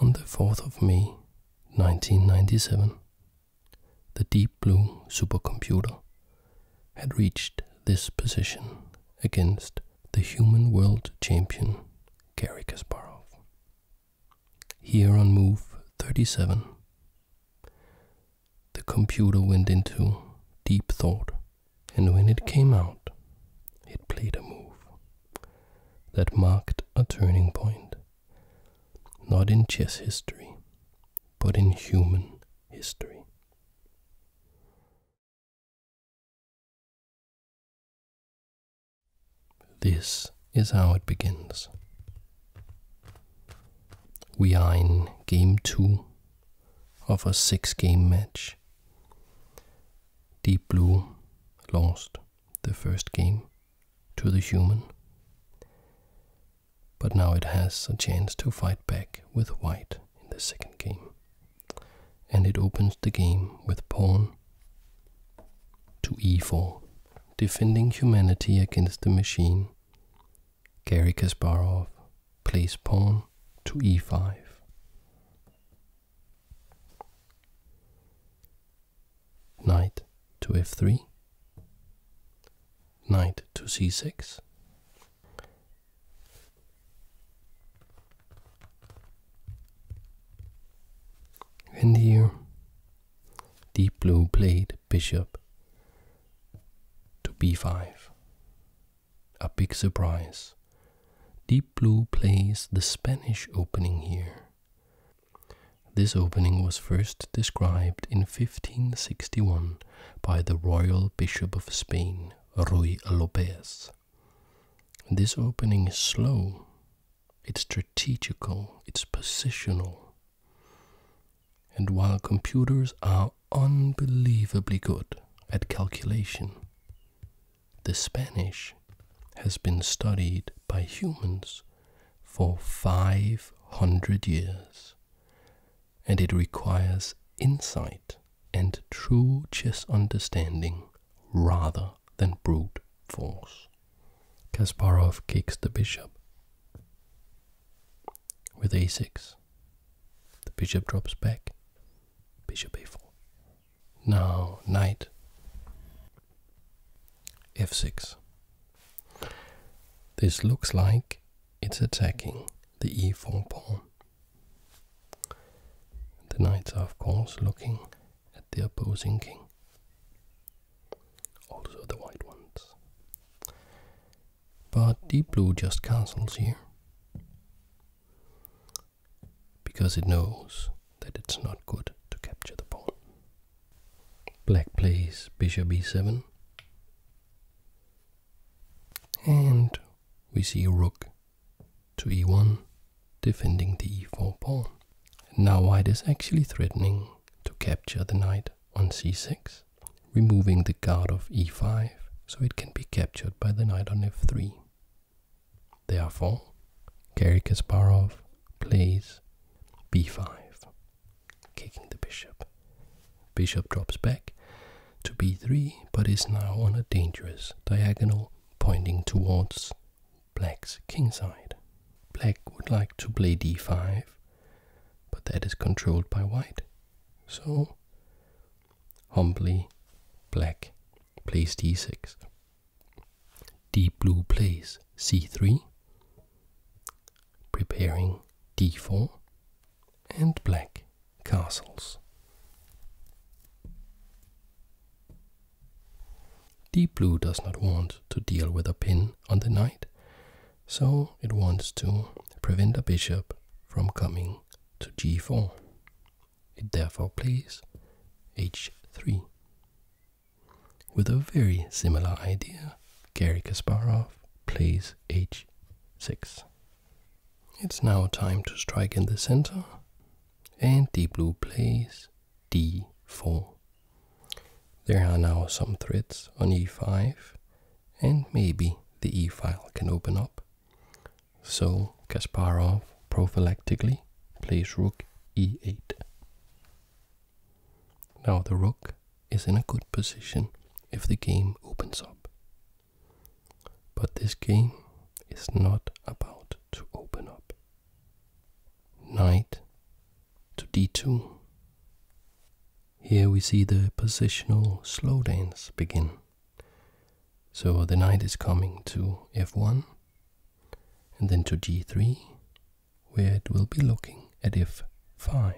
On the 4th of May 1997, the Deep Blue supercomputer had reached this position against the human world champion Garry Kasparov. Here on move 37, the computer went into deep thought, and when it came out, it played a move that marked a turning point, not in chess history, but in human history. This is how it begins. We are in game two of a six game match. Deep Blue lost the first game to the human. But now it has a chance to fight back with white in the second game. And it opens the game with pawn to e4, defending humanity against the machine. Gary Kasparov plays pawn to e5 knight to f3, knight to c6, and here deep blue played bishop to b5. A big surprise. Deep Blue plays the Spanish opening here. This opening was first described in 1561 by the royal bishop of Spain, Ruy Lopez. This opening is slow, it's strategical, it's positional. And while computers are unbelievably good at calculation, the Spanish has been studied by humans for 500 years, and it requires insight and true chess understanding rather than brute force. Kasparov kicks the bishop with a6. The bishop drops back, bishop a4. Now knight f6. This looks like it's attacking the e4 pawn. The knights are, of course, looking at the opposing king, also the white ones. But deep blue just castles here because it knows that it's not good to capture the pawn. Black plays bishop b 7 and we see rook to e1 defending the e4 pawn. Now white is actually threatening to capture the knight on c6, removing the guard of e5 so it can be captured by the knight on f3. Therefore, Gary Kasparov plays b5, kicking the bishop. Bishop drops back to b3, but is now on a dangerous diagonal pointing towards black's kingside. Black would like to play d5, but that is controlled by white. So, humbly, black plays d6. Deep blue plays c3, preparing d4, and black castles. Deep blue does not want to deal with a pin on the knight, so it wants to prevent a bishop from coming to g4. It therefore plays h3. With a very similar idea, Gary Kasparov plays h6. It's now time to strike in the center, and Deep Blue plays d4. There are now some threats on e5, and maybe the e file can open up so Kasparov prophylactically plays rook e8. Now the rook is in a good position if the game opens up. But this game is not about to open up. Knight to d2. Here we see the positional slow dance begin. So the knight is coming to f1 and then to g3, where it will be looking at f5.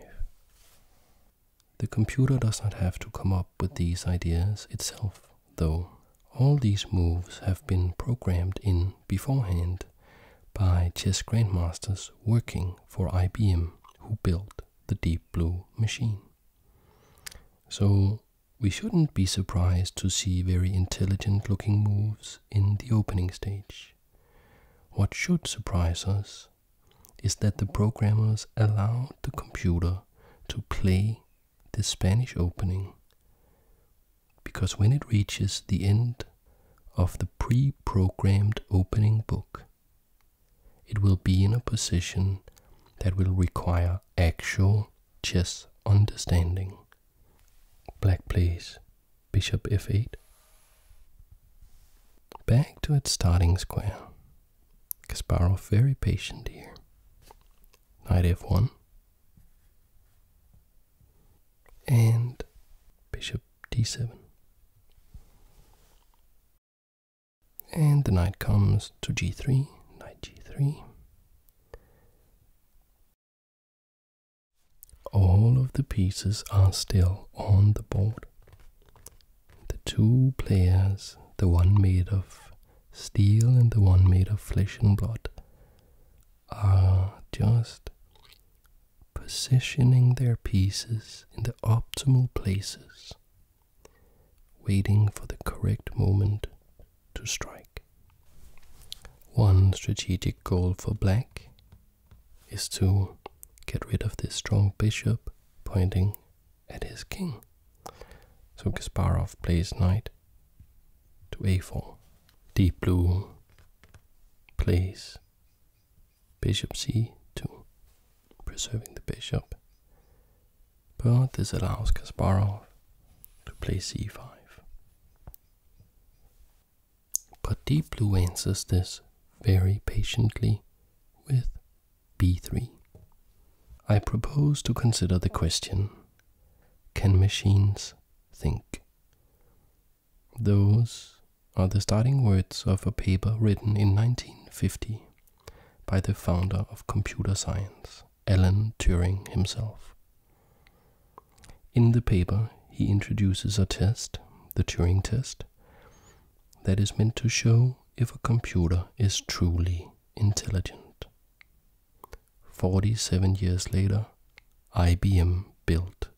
The computer does not have to come up with these ideas itself, though. All these moves have been programmed in beforehand by chess grandmasters working for IBM who built the Deep Blue machine. So we shouldn't be surprised to see very intelligent looking moves in the opening stage. What should surprise us is that the programmers allowed the computer to play the Spanish opening because when it reaches the end of the pre programmed opening book, it will be in a position that will require actual chess understanding. Black plays bishop f8. Back to its starting square. Kasparov very patient here. Knight f1. And bishop d7. And the knight comes to g3, knight g3, all of the pieces are still on the board. The two players, the one made of steel and the one made of flesh and blood, are just positioning their pieces in the optimal places waiting for the correct moment to strike. One strategic goal for black is to get rid of this strong bishop pointing at his king. So Kasparov plays knight to a4. Deep blue plays bishop c2, preserving the bishop but this allows Kasparov to play c5. But deep blue answers this very patiently with b3. I propose to consider the question, can machines think? Those are the starting words of a paper written in 1950 by the founder of computer science. Alan Turing himself. In the paper, he introduces a test, the Turing test, that is meant to show if a computer is truly intelligent. 47 years later, IBM built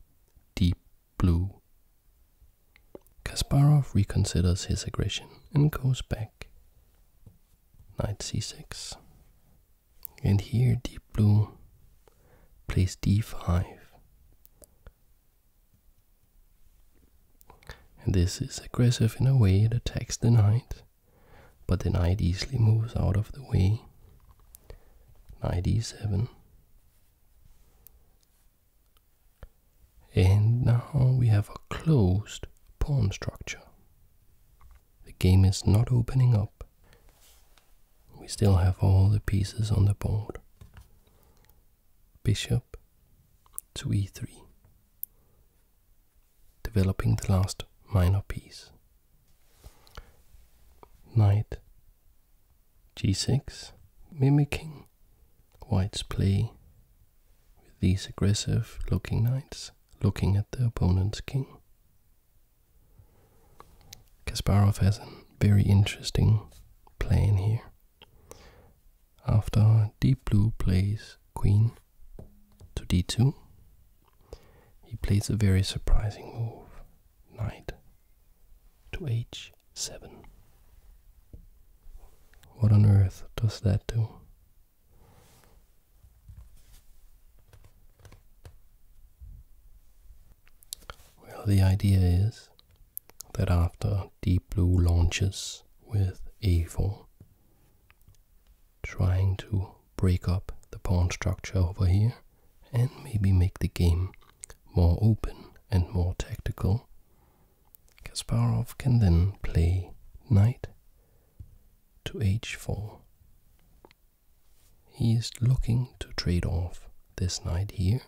Deep Blue. Kasparov reconsiders his aggression and goes back black, knight c6. And here deep blue plays d5. And this is aggressive in a way, it attacks the knight, but the knight easily moves out of the way. Knight e7. And now we have a closed pawn structure. The game is not opening up. We still have all the pieces on the board. Bishop to e3, developing the last minor piece. Knight g6, mimicking white's play with these aggressive looking knights looking at the opponent's king. Kasparov has a very interesting plan here. After deep blue plays queen to d2, he plays a very surprising move, knight to h7. What on earth does that do? Well, the idea is that after Deep Blue launches with a4, trying to break up the pawn structure over here and maybe make the game more open and more tactical Kasparov can then play knight to h4. He is looking to trade off this knight here.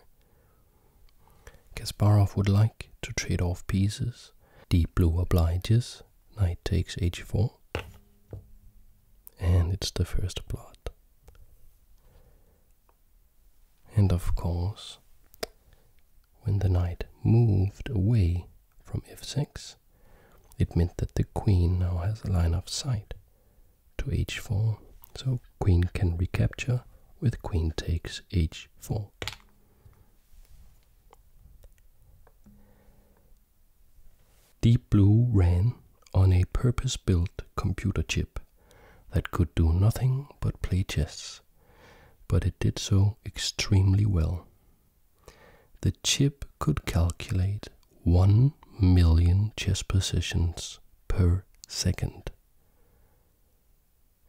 Kasparov would like to trade off pieces. Deep blue obliges, knight takes h4. And it's the first blood. And of course, when the knight moved away from f6, it meant that the queen now has a line of sight to h4, so queen can recapture with queen takes h4. Deep Blue ran on a purpose-built computer chip that could do nothing but play chess but it did so extremely well. The chip could calculate 1 million chess positions per second.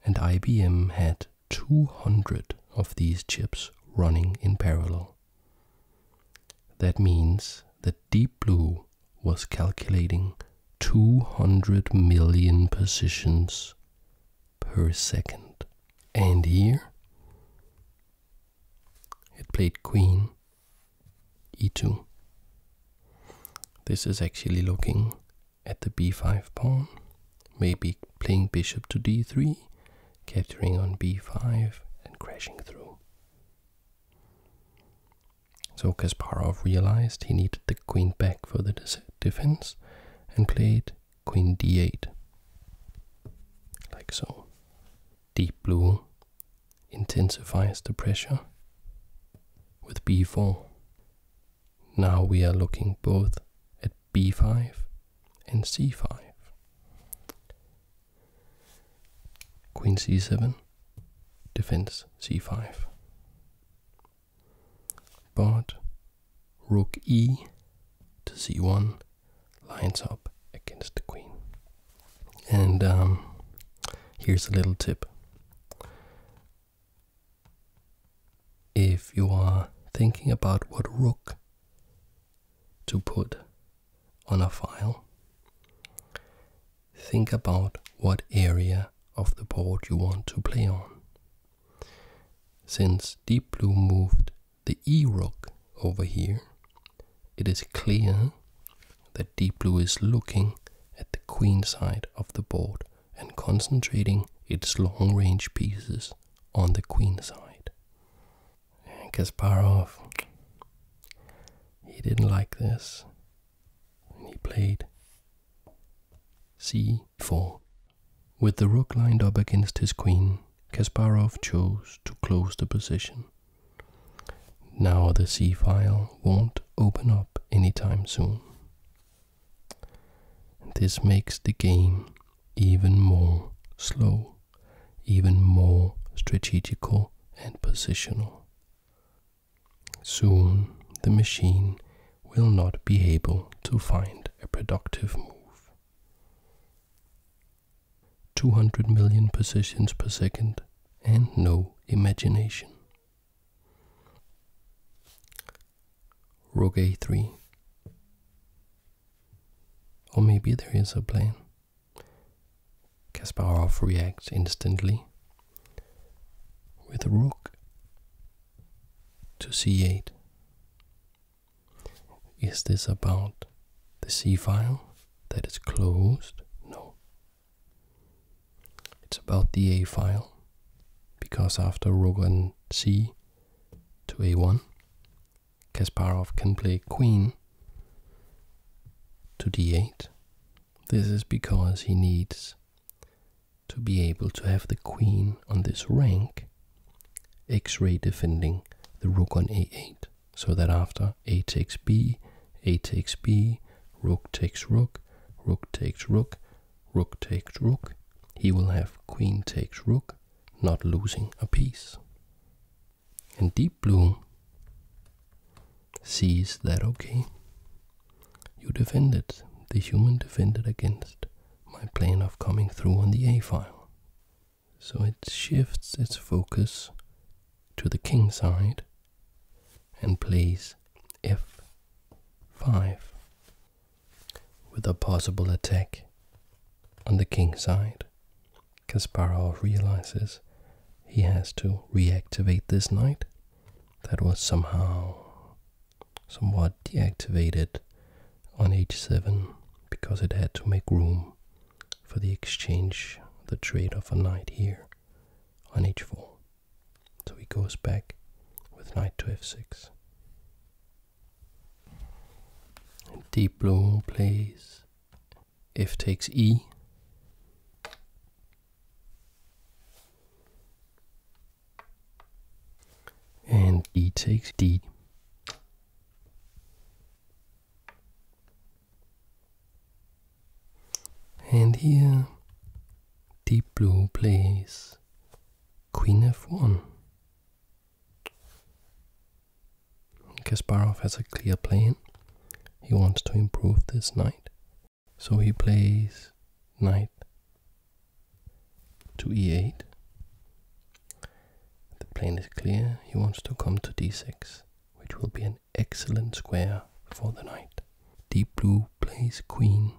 And IBM had 200 of these chips running in parallel. That means that Deep Blue was calculating 200 million positions per second. And here it played queen e2. This is actually looking at the b5 pawn, maybe playing bishop to d3, capturing on b5 and crashing through. So Kasparov realized he needed the queen back for the defense and played queen d8 like so deep blue intensifies the pressure with b4 now we are looking both at b5 and c5 queen c7 defense c5 but rook e to c1 lines up against the queen. And um, here's a little tip. If you are thinking about what rook to put on a file, think about what area of the board you want to play on. Since Deep Blue moved the E rook over here, it is clear that Deep Blue is looking at the queen side of the board and concentrating its long range pieces on the queen side. And Kasparov, he didn't like this. He played c4. With the rook lined up against his queen, Kasparov chose to close the position. Now the c-file won't open up anytime soon. This makes the game even more slow, even more strategical and positional. Soon the machine will not be able to find a productive move. 200 million positions per second and no imagination. Rook a3. Or maybe there is a plan. Kasparov reacts instantly with a rook to c8. Is this about the c file that is closed? No. It's about the a file because after rook and c to a1, Kasparov can play queen to d8. This is because he needs to be able to have the queen on this rank x-ray defending the rook on a8 so that after a takes b a takes b rook takes rook rook takes rook rook takes rook he will have queen takes rook not losing a piece and deep blue sees that okay you defended, the human defended against my plan of coming through on the a file. So it shifts its focus to the king side and plays f5 with a possible attack on the king side. Kasparov realizes he has to reactivate this knight that was somehow somewhat deactivated on h7 because it had to make room for the exchange, the trade of a knight here on h4. So he goes back with knight to f6. deep blue plays f takes e and e takes d. And here deep blue plays queen f1. Kasparov has a clear plan. He wants to improve this knight so he plays knight to e8. The plane is clear. He wants to come to d6, which will be an excellent square for the knight. Deep blue plays queen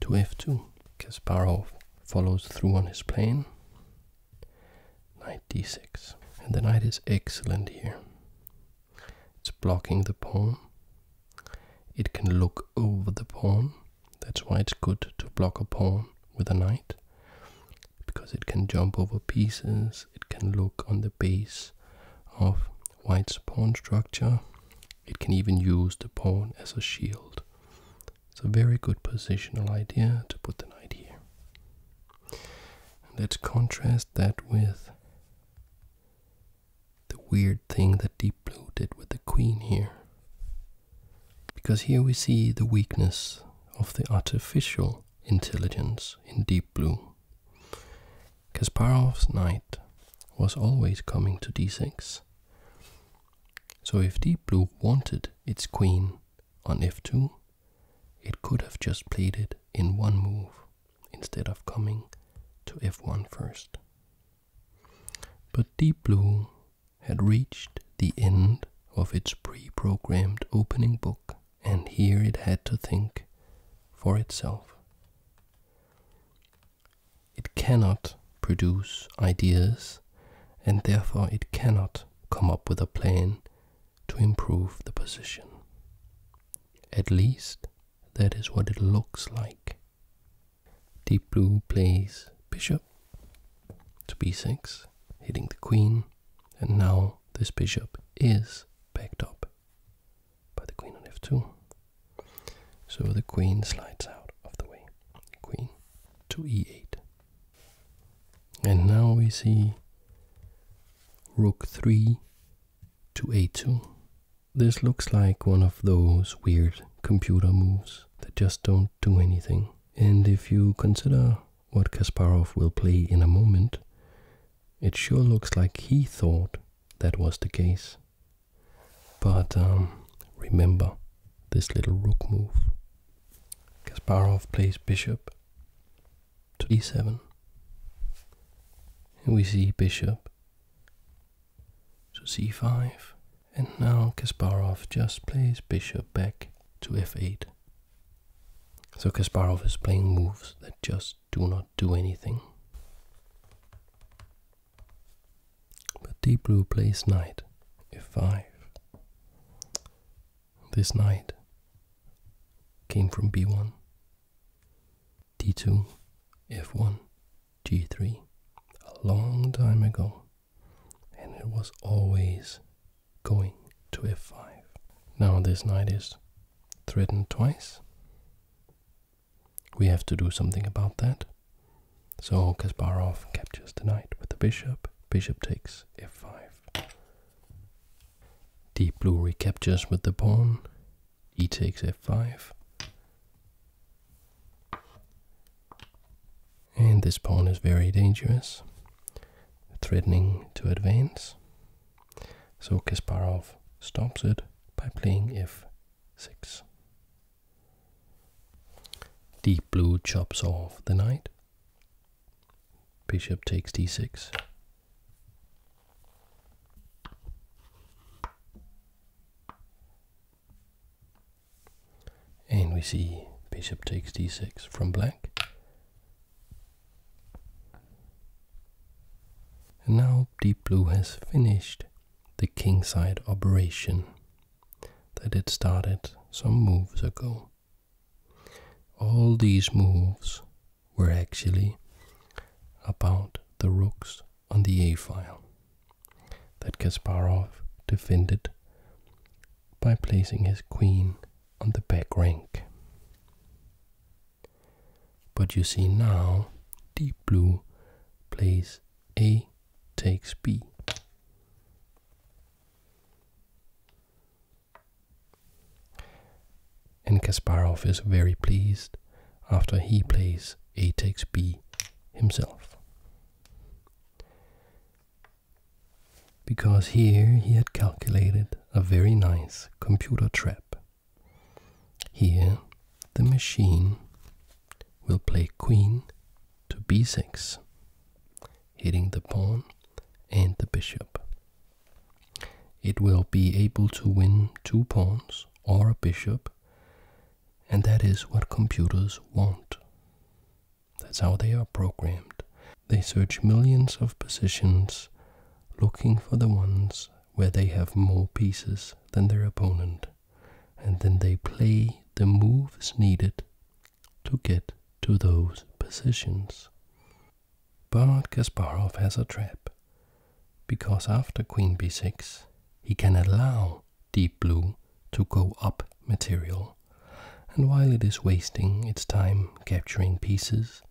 to f2. Kasparov follows through on his plan. Knight d6. And the knight is excellent here. It's blocking the pawn it can look over the pawn. That's why it's good to block a pawn with a knight. Because it can jump over pieces, it can look on the base of white's pawn structure. It can even use the pawn as a shield. It's a very good positional idea to put the knight here. let's contrast that with the weird thing that Deep Blue did with the Queen here. Because here we see the weakness of the artificial intelligence in Deep Blue. Kasparov's knight was always coming to d6. So if Deep Blue wanted its queen on f2, it could have just played it in one move instead of coming to f1 first. But Deep Blue had reached the end of its pre programmed opening book, and here it had to think for itself. It cannot produce ideas, and therefore it cannot come up with a plan to improve the position. At least that is what it looks like. Deep blue plays bishop to b6, hitting the queen, and now this bishop is backed up by the queen on f2. So the queen slides out of the way. Queen to e8. And now we see rook 3 to a2 this looks like one of those weird computer moves that just don't do anything. And if you consider what Kasparov will play in a moment, it sure looks like he thought that was the case. But um, remember this little rook move. Kasparov plays bishop to d7. And we see bishop so c5, and now Kasparov just plays bishop back to f8. So Kasparov is playing moves that just do not do anything. But deep blue plays knight f5. This knight came from b1 d2, f1, g3 a long time ago, and it was always going to f5. Now this knight is threatened twice. We have to do something about that. So Kasparov captures the knight with the bishop. Bishop takes f5. Deep blue recaptures with the pawn. He takes f5. And this pawn is very dangerous, threatening to advance. So Kasparov stops it by playing f6. Deep blue chops off the knight. Bishop takes d6. And we see bishop takes d6 from black. And now deep blue has finished the kingside operation that it started some moves ago. All these moves were actually about the rooks on the a file that Kasparov defended by placing his queen on the back rank. But you see now, deep blue plays A takes B and Kasparov is very pleased after he plays a takes b himself. Because here he had calculated a very nice computer trap. Here the machine will play queen to b6, hitting the pawn and the bishop it will be able to win two pawns or a bishop, and that is what computers want. That's how they are programmed. They search millions of positions looking for the ones where they have more pieces than their opponent, and then they play the moves needed to get to those positions. Bernard Kasparov has a trap, because after queen b6, he can allow deep blue to go up material, and while it is wasting its time capturing pieces,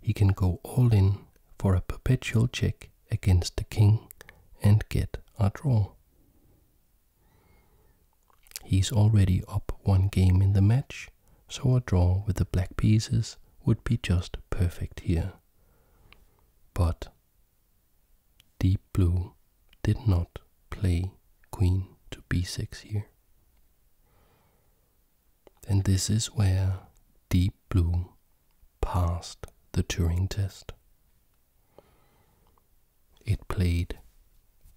he can go all in for a perpetual check against the king and get a draw. He's already up one game in the match, so a draw with the black pieces would be just perfect here. But Deep Blue did not play Queen to b6 here. And this is where Deep Blue passed the Turing test. It played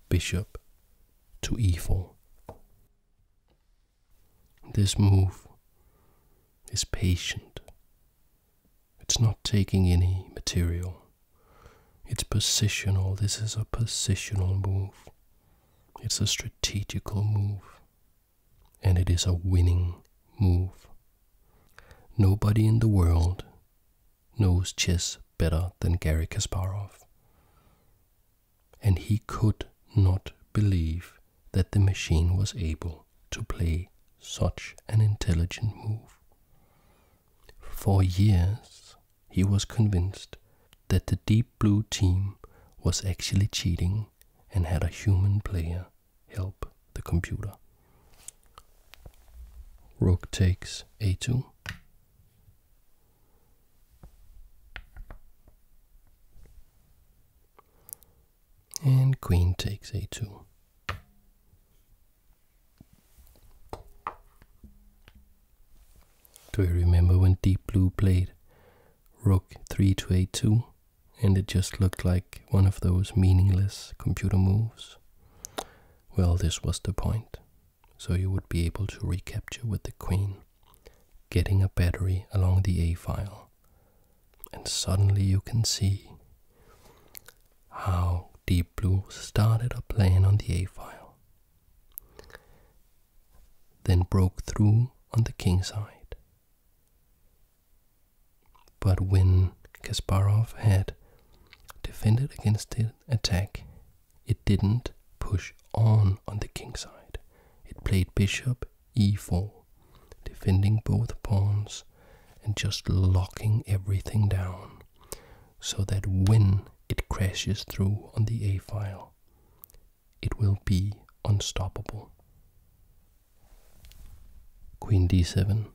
bishop to e4. This move is patient. It's not taking any material. It's positional. This is a positional move. It's a strategical move. And it is a winning move. Nobody in the world knows chess better than Gary Kasparov and he could not believe that the machine was able to play such an intelligent move. For years, he was convinced that the Deep Blue team was actually cheating and had a human player help the computer. Rook takes a2 and queen takes a2. Do you remember when Deep Blue played rook 3 to a2 and it just looked like one of those meaningless computer moves? Well, this was the point, so you would be able to recapture with the queen getting a battery along the A file, and suddenly you can see how Deep Blue started a plan on the A file, then broke through on the king side. But when Kasparov had defended against the attack, it didn't push on on the king side. It played bishop e4, defending both pawns and just locking everything down so that when it crashes through on the a file, it will be unstoppable. Queen d7.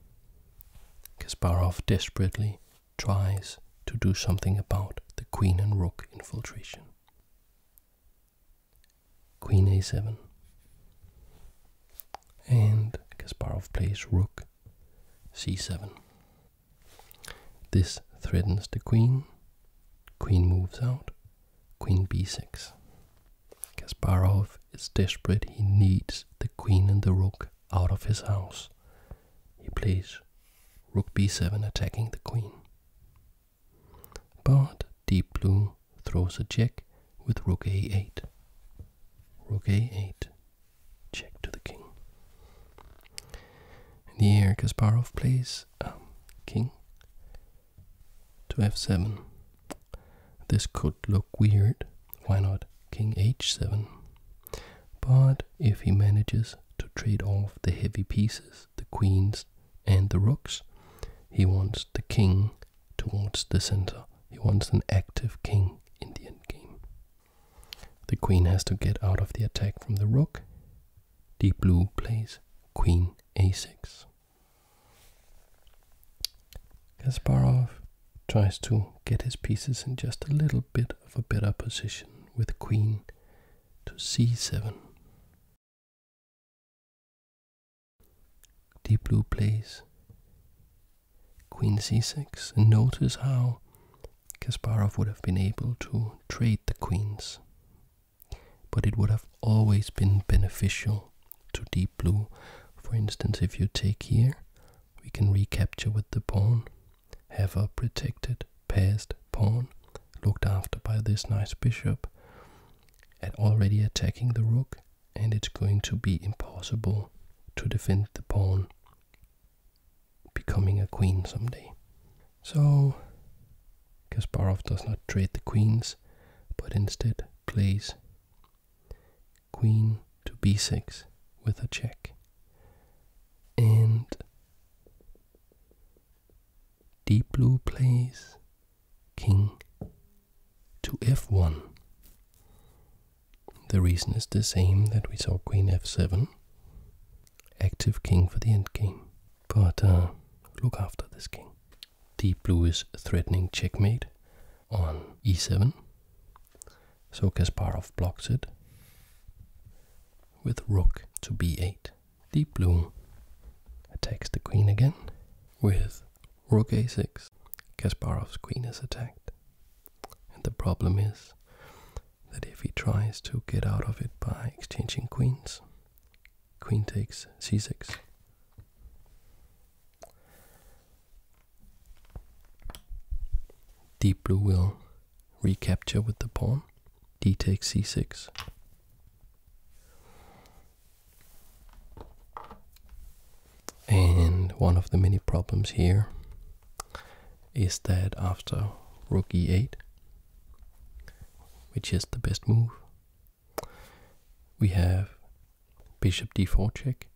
Kasparov desperately tries to do something about the queen and rook infiltration. Queen a7. And Kasparov plays rook c7. This threatens the queen. Queen moves out. Queen b6. Kasparov is desperate. He needs the queen and the rook out of his house. He plays rook b7 attacking the queen. But Deep Blue throws a check with Rook a8. Rook a8. Check to the king. In the air, Kasparov plays um, king to f7. This could look weird. Why not king h7? But if he manages to trade off the heavy pieces, the queens and the rooks. He wants the king towards the center. He wants an active king in the endgame. The queen has to get out of the attack from the rook. Deep blue plays queen a6. Kasparov tries to get his pieces in just a little bit of a better position with queen to c7. Deep Blue plays Queen c6 and notice how Kasparov would have been able to trade the queens but it would have always been beneficial to Deep Blue. For instance, if you take here, we can recapture with the pawn, have her protected, Passed pawn, looked after by this nice bishop, and already attacking the rook, and it's going to be impossible to defend the pawn becoming a queen someday. So Kasparov does not trade the queens, but instead plays queen to b6 with a check. And Deep blue plays king to f1. The reason is the same that we saw queen f7. Active king for the endgame. But uh, look after this king. Deep blue is threatening checkmate on e7. So Kasparov blocks it with rook to b8. Deep blue attacks the queen again with rook a6. Kasparov's queen is attacked. And the problem is that if he tries to get out of it by exchanging queens, queen takes c6. Deep blue will recapture with the pawn, d takes c6, and one of the many problems here is that after rook e8, which is the best move, we have bishop d4 check,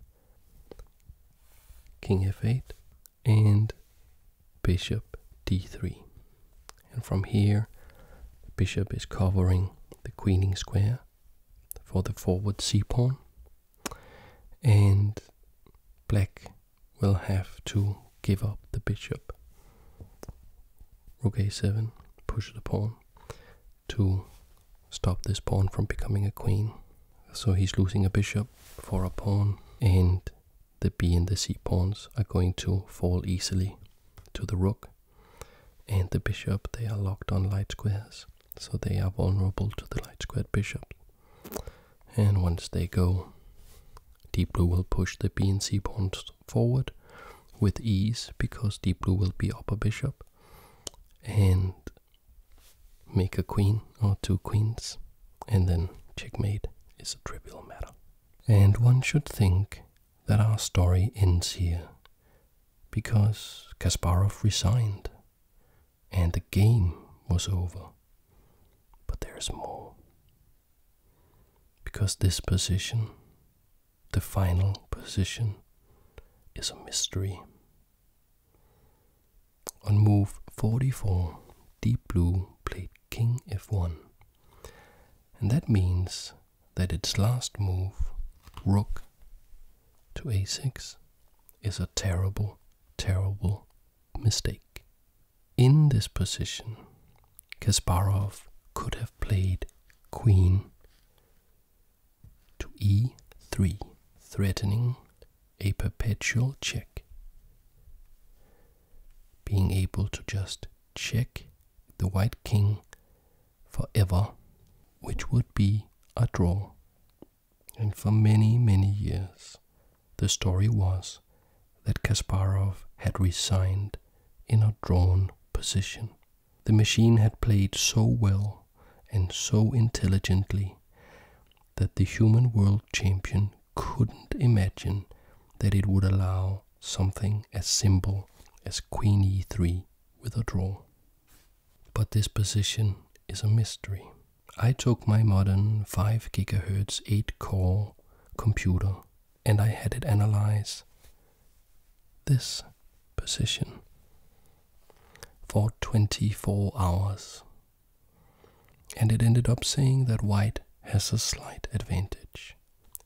king f8, and bishop d3. And from here, the bishop is covering the queening square for the forward c pawn. And black will have to give up the bishop. Rook a7, push the pawn to stop this pawn from becoming a queen. So he's losing a bishop for a pawn and the b and the c pawns are going to fall easily to the rook and the bishop. They are locked on light squares, so they are vulnerable to the light squared bishop. And once they go, deep blue will push the b and c pawns forward with ease because deep blue will be upper bishop and make a queen or two queens and then checkmate is a trivial matter. And one should think that our story ends here, because Kasparov resigned and the game was over. But there's more. Because this position, the final position, is a mystery. On move 44, Deep Blue played King f1 and that means that its last move, rook to a6, is a terrible, terrible mistake. In this position, Kasparov could have played queen to e3, threatening a perpetual check being able to just check the white king for ever, which would be a draw. And for many, many years, the story was that Kasparov had resigned in a drawn position. The machine had played so well and so intelligently that the human world champion couldn't imagine that it would allow something as simple as queen e3 with a draw. But this position is a mystery. I took my modern 5 GHz 8 core computer and I had it analyze this position for 24 hours and it ended up saying that white has a slight advantage.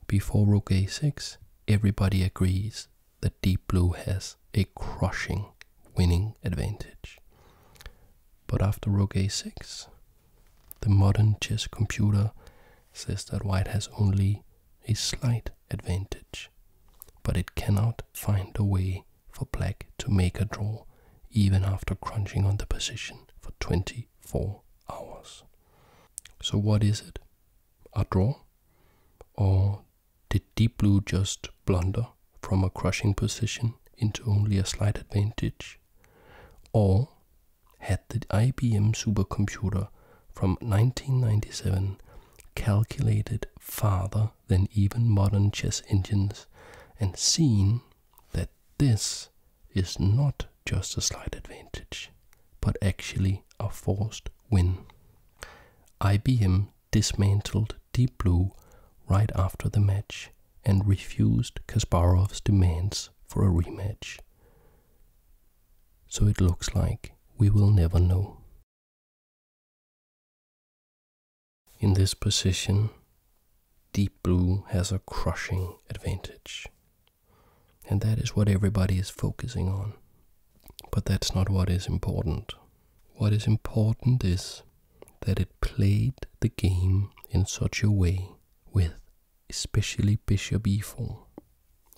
Before rook a6, everybody agrees that deep blue has a crushing winning advantage. But after rook a6, the modern chess computer says that white has only a slight advantage, but it cannot find a way for black to make a draw even after crunching on the position for 24 hours. So, what is it? A draw? Or did Deep Blue just blunder from a crushing position into only a slight advantage? Or had the IBM supercomputer from 1997 calculated farther than even modern chess engines and seen that this is not just a slight advantage, but actually a forced win. IBM dismantled Deep Blue right after the match and refused Kasparov's demands for a rematch. So it looks like we will never know. In this position, Deep blue has a crushing advantage. And that is what everybody is focusing on. But that's not what is important. What is important is that it played the game in such a way with especially bishop e4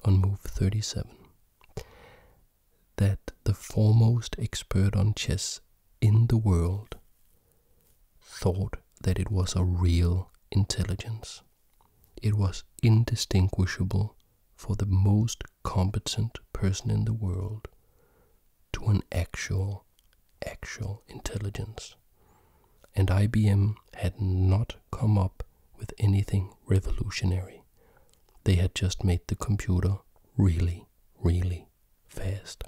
on move 37 that the foremost expert on chess in the world thought that it was a real intelligence. It was indistinguishable for the most competent person in the world to an actual, actual intelligence. And IBM had not come up with anything revolutionary. They had just made the computer really, really fast.